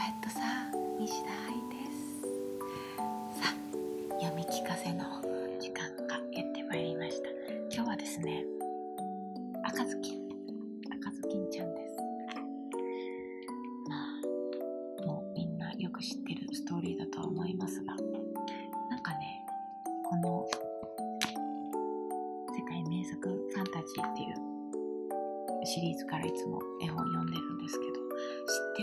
えっとさ西田愛ですさ読み聞かせの時間がやってまいりました今日はですね赤ずきん赤ずきんちゃんですまあもうみんなよく知ってるストーリーだとは思いますがなんかねこの世界名作ファンタジーっていうシリーズからいつも絵本読んでるんですけど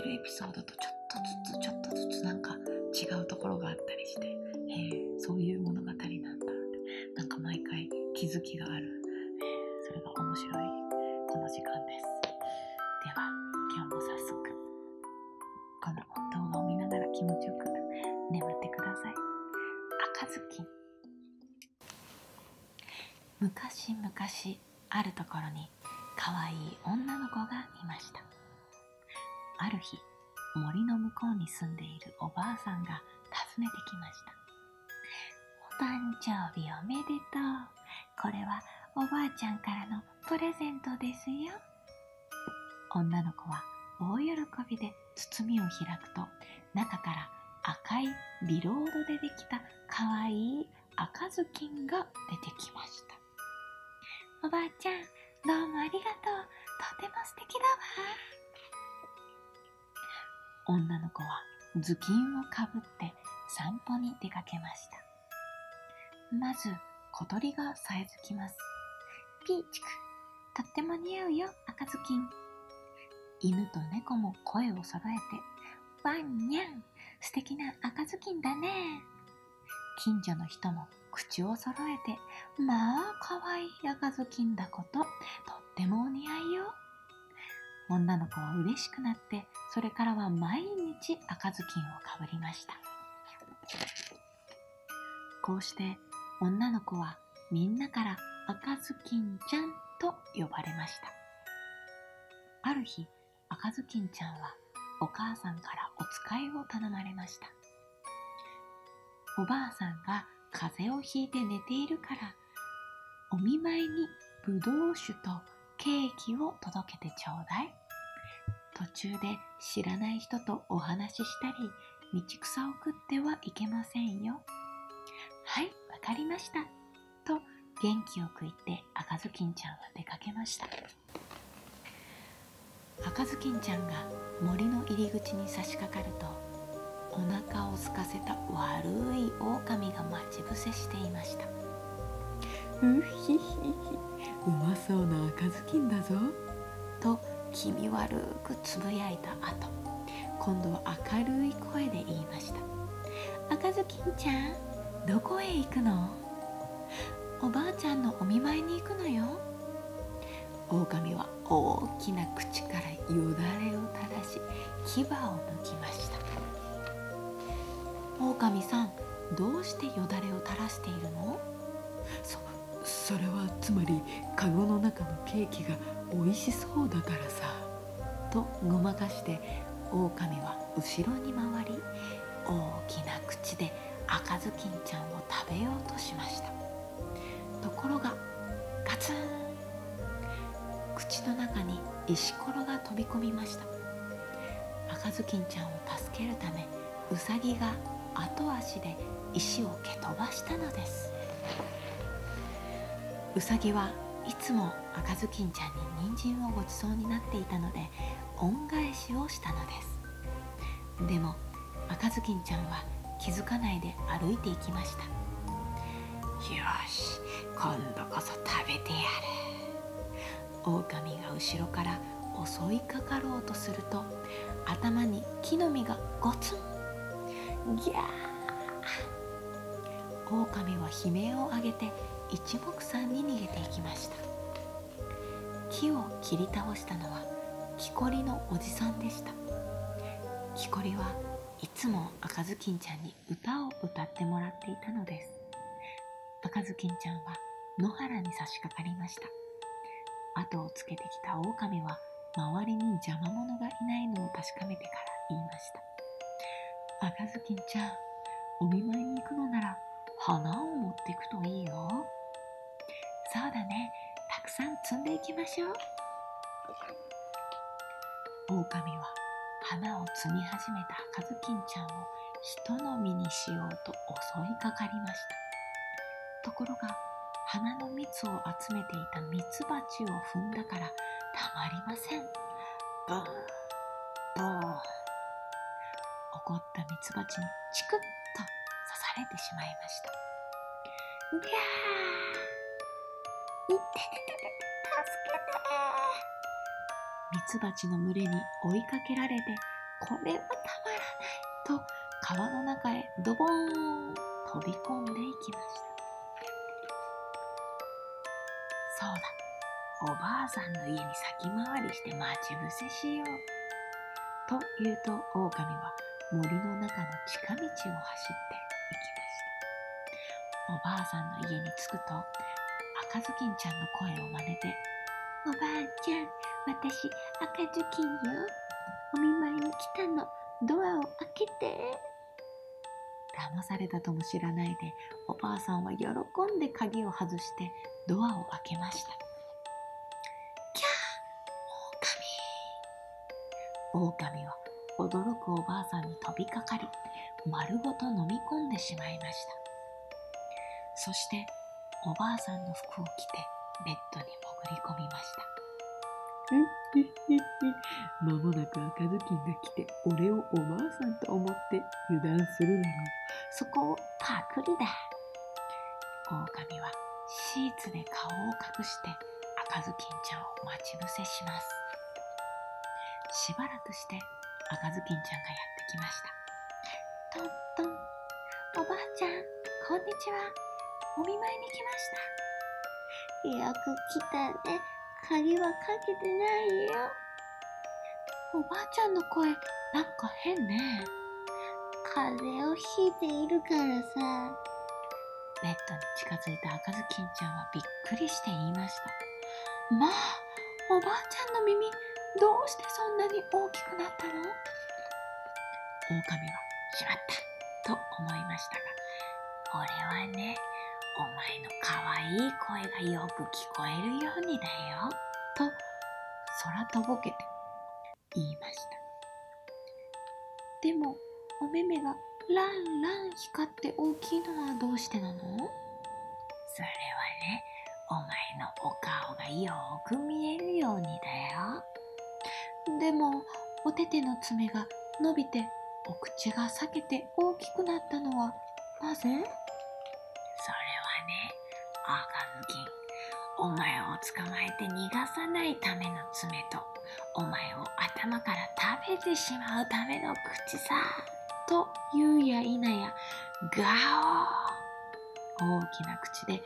知ってるエピソードとちょっとずつちょっとずつなんか違うところがあったりしてへえそういう物語なんだってなんか毎回気づきがあるそれが面白いこの時間ですでは今日も早速この動画を見ながら気持ちよく眠ってください赤ずきん昔々あるところにかわいい女の子がいましたある日森の向こうに住んでいるおばあさんが訪ねてきましたお誕生日おめでとうこれはおばあちゃんからのプレゼントですよ女の子は大喜びで包みを開くと中から赤いビロードでできたかわいい赤ずきんが出てきましたおばあちゃんどうもありがとうとても素敵だわ女の子は頭巾をかぶって散歩に出かけましたまず小鳥がさえずきますピーチクとっても似合うよ赤ずきん犬と猫も声を揃えてワンニャン素敵な赤ずきんだね近所の人も口を揃えてまあかわいい赤ずきんだこととってもお似合いよ女の子は嬉しくなってそれからは毎日赤ずきんをかぶりましたこうして女の子はみんなから赤ずきんちゃんと呼ばれましたある日赤ずきんちゃんはお母さんからおつかいを頼まれましたおばあさんが風邪をひいて寝ているからお見舞いにぶどう酒とケーキを届けてちょうだい途中で知らない人とお話ししたり道草を食ってはいけませんよはいわかりましたと元気をく言って赤ずきんちゃんは出かけました赤ずきんちゃんが森の入り口に差し掛かるとお腹を空かせた悪い狼が待ち伏せしていましたうひひひうまそうな赤ずきんだぞと気味悪くつぶやいた後今度は明るい声で言いました赤ずきんちゃんどこへ行くのおばあちゃんのお見舞いに行くのよ狼は大きな口からよだれを垂らし牙を抜きました狼さんどうしてよだれを垂らしているのそそれはつまりカゴの中のケーキが美味しそうだからさ」とごまかしてオオカミは後ろに回り大きな口で赤ずきんちゃんを食べようとしましたところがガツン口の中に石飛び込みました赤ずきんちゃんを助けるためうさぎが後足で石を蹴飛ばしたのですうさぎはいつも赤ずきんちゃんに人参をごちそうになっていたので恩返しをしたのですでも赤ずきんちゃんは気づかないで歩いていきましたよし今度こそ食べてやる狼が後ろから襲いかかろうとすると頭に木の実がゴツン狼は悲鳴を上げて一目散に逃げていきました木を切り倒したのは木こりのおじさんでした木こりはいつも赤ずきんちゃんに歌を歌ってもらっていたのです赤ずきんちゃんは野原に差し掛かりました後をつけてきたオオカミは周りに邪魔者がいないのを確かめてから言いました赤ずきんちゃんお見舞いに行くのなら花を持ってくといいよそうだねたくさん摘んでいきましょう狼は花を摘み始めた赤ずきんちゃんを人のみにしようと襲いかかりましたところが花の蜜を集めていたミツバチを踏んだからたまりませんブー怒ったミツバチにチクッと刺されてしまいましたギャーて助けてミツバチの群れに追いかけられてこれはたまらないと川の中へドボン飛び込んでいきましたそうだおばあさんの家に先回りして待ち伏せしようと言うとオオカミは森の中の近道を走っていきましたおばあさんの家に着くと赤ずきんちゃんの声を真似て「おばあちゃん私赤ずきんよお見舞いに来たのドアを開けて」騙されたとも知らないでおばあさんは喜んで鍵を外してドアを開けました「キャー狼!」狼は驚くおばあさんに飛びかかり丸ごと飲み込んでしまいましたそしておばあさんの服を着てベッドに潜り込みましたまもなく赤ずきんが来て俺をおばあさんと思って油断するのろそこをパクリだ狼はシーツで顔を隠して赤ずきんちゃんを待ち伏せしますしばらくして赤ずきんちゃんがやってきましたとっとンおばあちゃんこんにちはお見舞いに来ましたよく来たね鍵はかけてないよおばあちゃんの声なんか変ね風邪をひいているからさベッドに近づいた赤ずきんちゃんはびっくりして言いましたまあおばあちゃんの耳どうしてそんなに大きくなったの狼はしまったと思いましたが俺はねお前のかわいい声がよく聞こえるようにだよと空とぼけて言いましたでもお目目がランラン光って大きいのはどうしてなのそれはねお前のお顔がよく見えるようにだよでもおてての爪が伸びてお口が裂けて大きくなったのはなぜそれはねあかずきんお前を捕まえて逃がさないための爪とお前を頭から食べてしまうための口さと言うや否やガオ大きな口で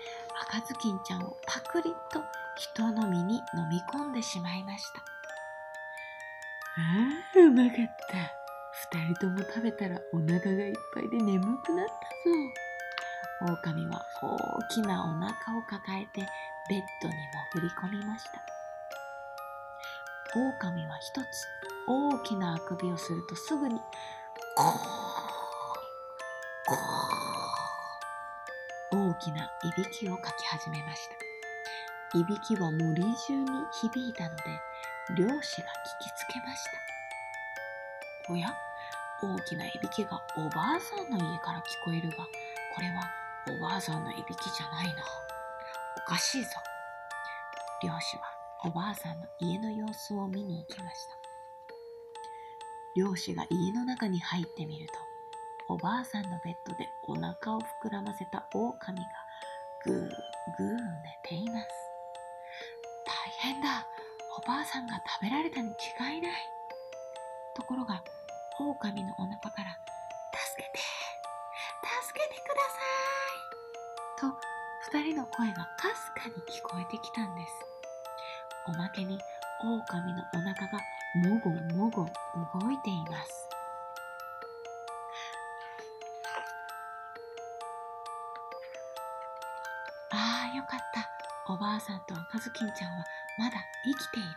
赤ずきんちゃんをパクリと人の身に飲み込んでしまいましたあうまかった2人とも食べたらお腹がいっぱいで眠くなったぞ狼は大きなお腹を抱えベッドに潜り込みました狼は一つ大きなあくびをするとすぐに「大きないびきをかき始めましたいびきは森中に響いたので漁師が聞きつけましたおや大きないびきがおばあさんの家から聞こえるがこれはおばあさんのいびきじゃないな。おかしいぞ。漁師はおばあさんの家の様子を見に行きました。漁師が家の中に入ってみると、おばあさんのベッドでお腹を膨らませた狼がグーグー寝ています。大変だおばあさんが食べられたに違いないところが狼のお腹から「助けて助けてください!」と2人の声がかすかに聞こえてきたんですおまけに狼のお腹がもごもご動いていますああよかったおばあさんとのカズキちゃんはまだ生きている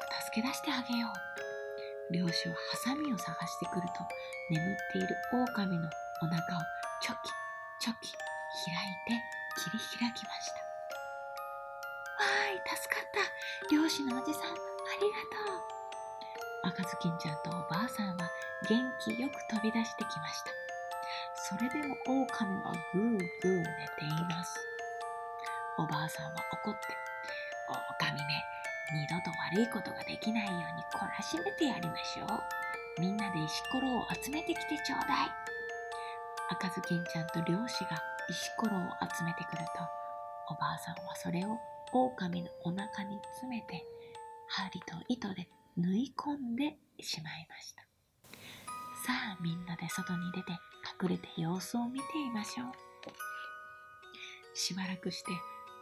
早く助け出してあげよう漁師はハサミを探してくると眠っている狼のお腹をチョキチョキ開いて切り開きましたわーい助かった漁師のおじさんありがとう赤ずきんちゃんとおばあさんは元気よく飛び出してきましたそれでも狼ぐーぐー寝ていますおばあさんは怒って「おかみめ二度と悪いことができないように懲らしめてやりましょうみんなで石ころを集めてきてちょうだい」赤ずきんちゃんと漁師が石ころを集めてくるとおばあさんはそれを狼のお腹に詰めて針と糸で縫い込んでしまいました。さあみんなで外に出て隠れて様子を見ていましょうしばらくして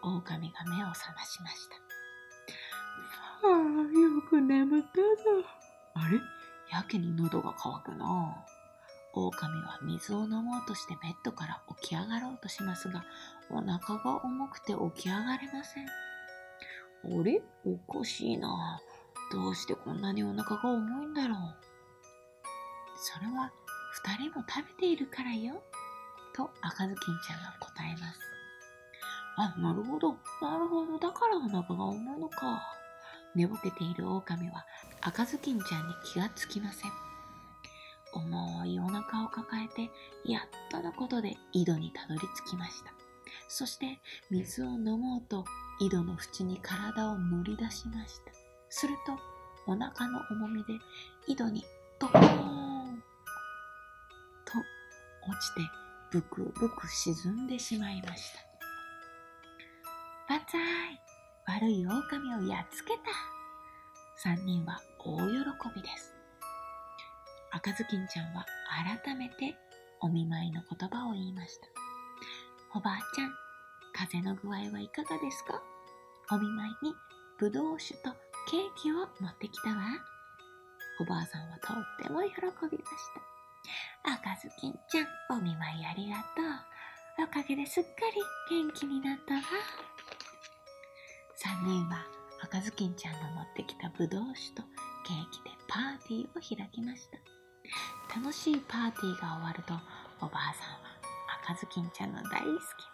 オオカミが目を覚ましましたあよく眠ったぞあれやけに喉が渇くなオオカミは水を飲もうとしてベッドから起き上がろうとしますがお腹が重くて起き上がれませんあれおかしいな。どうしてこんなにお腹が重いんだろう。それは2人も食べているからよ。と赤ずきんちゃんが答えます。あ、なるほど。なるほど。だからお腹が重いのか。寝ぼけている狼は赤ずきんちゃんに気がつきません。重いお腹を抱えてやっとのことで井戸にたどり着きましたそして水を飲もうと井戸の縁に体を乗り出しましたするとお腹の重みで井戸にドコーンと落ちてブクブク沈んでしまいました万歳悪い狼をやっつけた3人は大喜びです赤ずきんちゃんは改めてお見舞いの言葉を言いましたおばあちゃん風邪の具合はいかがですかお見舞いにぶどう酒とケーキを持ってきたわおばあさんはとっても喜びました赤ずきんちゃんお見舞いありがとうおかげですっかり元気になったわ3人は赤ずきんちゃんの持ってきたぶどう酒とケーキでパーティーを開きました楽しいパーティーが終わるとおばあさんは赤ずきんちゃんの大好き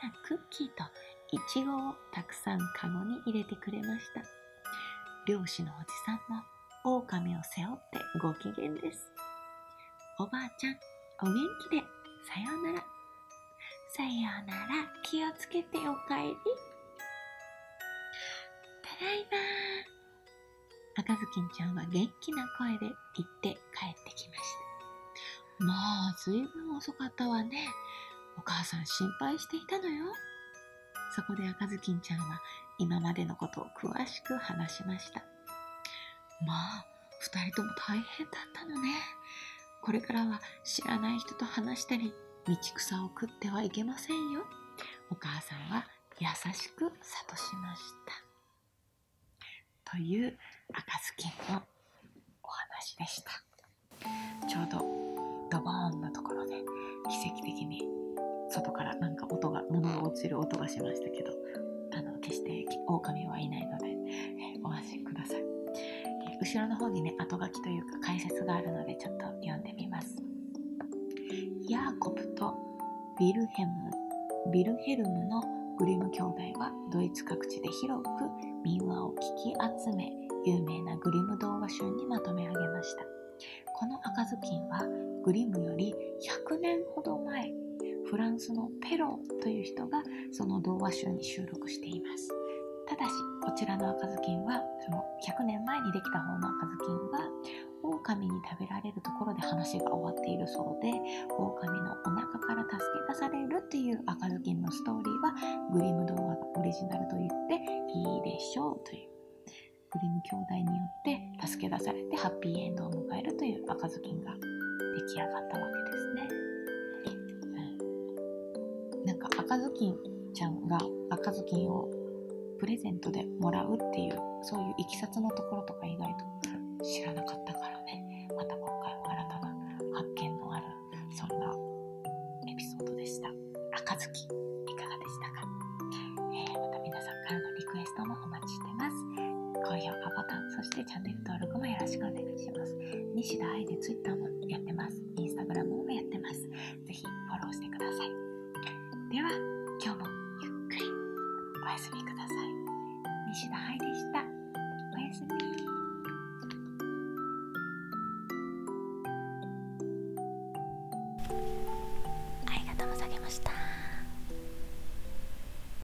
なクッキーといちごをたくさんかごに入れてくれました漁師のおじさんもオオカミを背負ってご機嫌ですおばあちゃんお元気でさようならさようなら気をつけておかえりただいま赤ずきんちゃんは元気な声で言って帰ってきましたまあずいぶん遅かったわねお母さん心配していたのよそこで赤ずきんちゃんは今までのことを詳しく話しましたまあ2人とも大変だったのねこれからは知らない人と話したり道草を食ってはいけませんよお母さんは優しく諭しましたという赤ずきんのお話でしたちょうどドボンのところで奇跡的に外からなんか音が物が落ちる音がしましたけどあの決して狼はいないので、えおください、後ろの方にね後書きというか解説があるのでちょっと読んでみますヤーコプとヴィルヘムヴルヘルムのグリム兄弟はドイツ各地で広く民話を聞き集め有名なグリム童話集にまとめ上げましたこの赤ずきんはグリムより100年ほど前フランスのペロという人がその童話集に収録していますただしこちらの赤ずきんはその100年前にできた方の赤ずきんは狼に食べられるところで話が終わっているそうで狼のお腹から助け出されるっていう赤ずきんのストーリーはグリム童話がオリジナルと言っていいでしょうというグリム兄弟によって助け出されてハッピーエンドを迎えるという赤ずきんがが出来上がったわけですね。うん、なんか赤ずきんちゃんが赤ずきんをプレゼントでもらうっていうそういういきさつのところとか意外と知らなかったからねまた今回は新たな発見のあるそんなエピソードでした赤ずきいかがでしたか、えー、また皆さんからのリクエストもお待ちしてます高評価ボタンそしてしてチャンネル登録もよろしくお願いします。西田愛で Twitter もやってます。Instagram もやってます。ぜひフォローしてください。では、今日もゆっくりおやすみください。西田愛でした。おやすみ。ありがとうございました。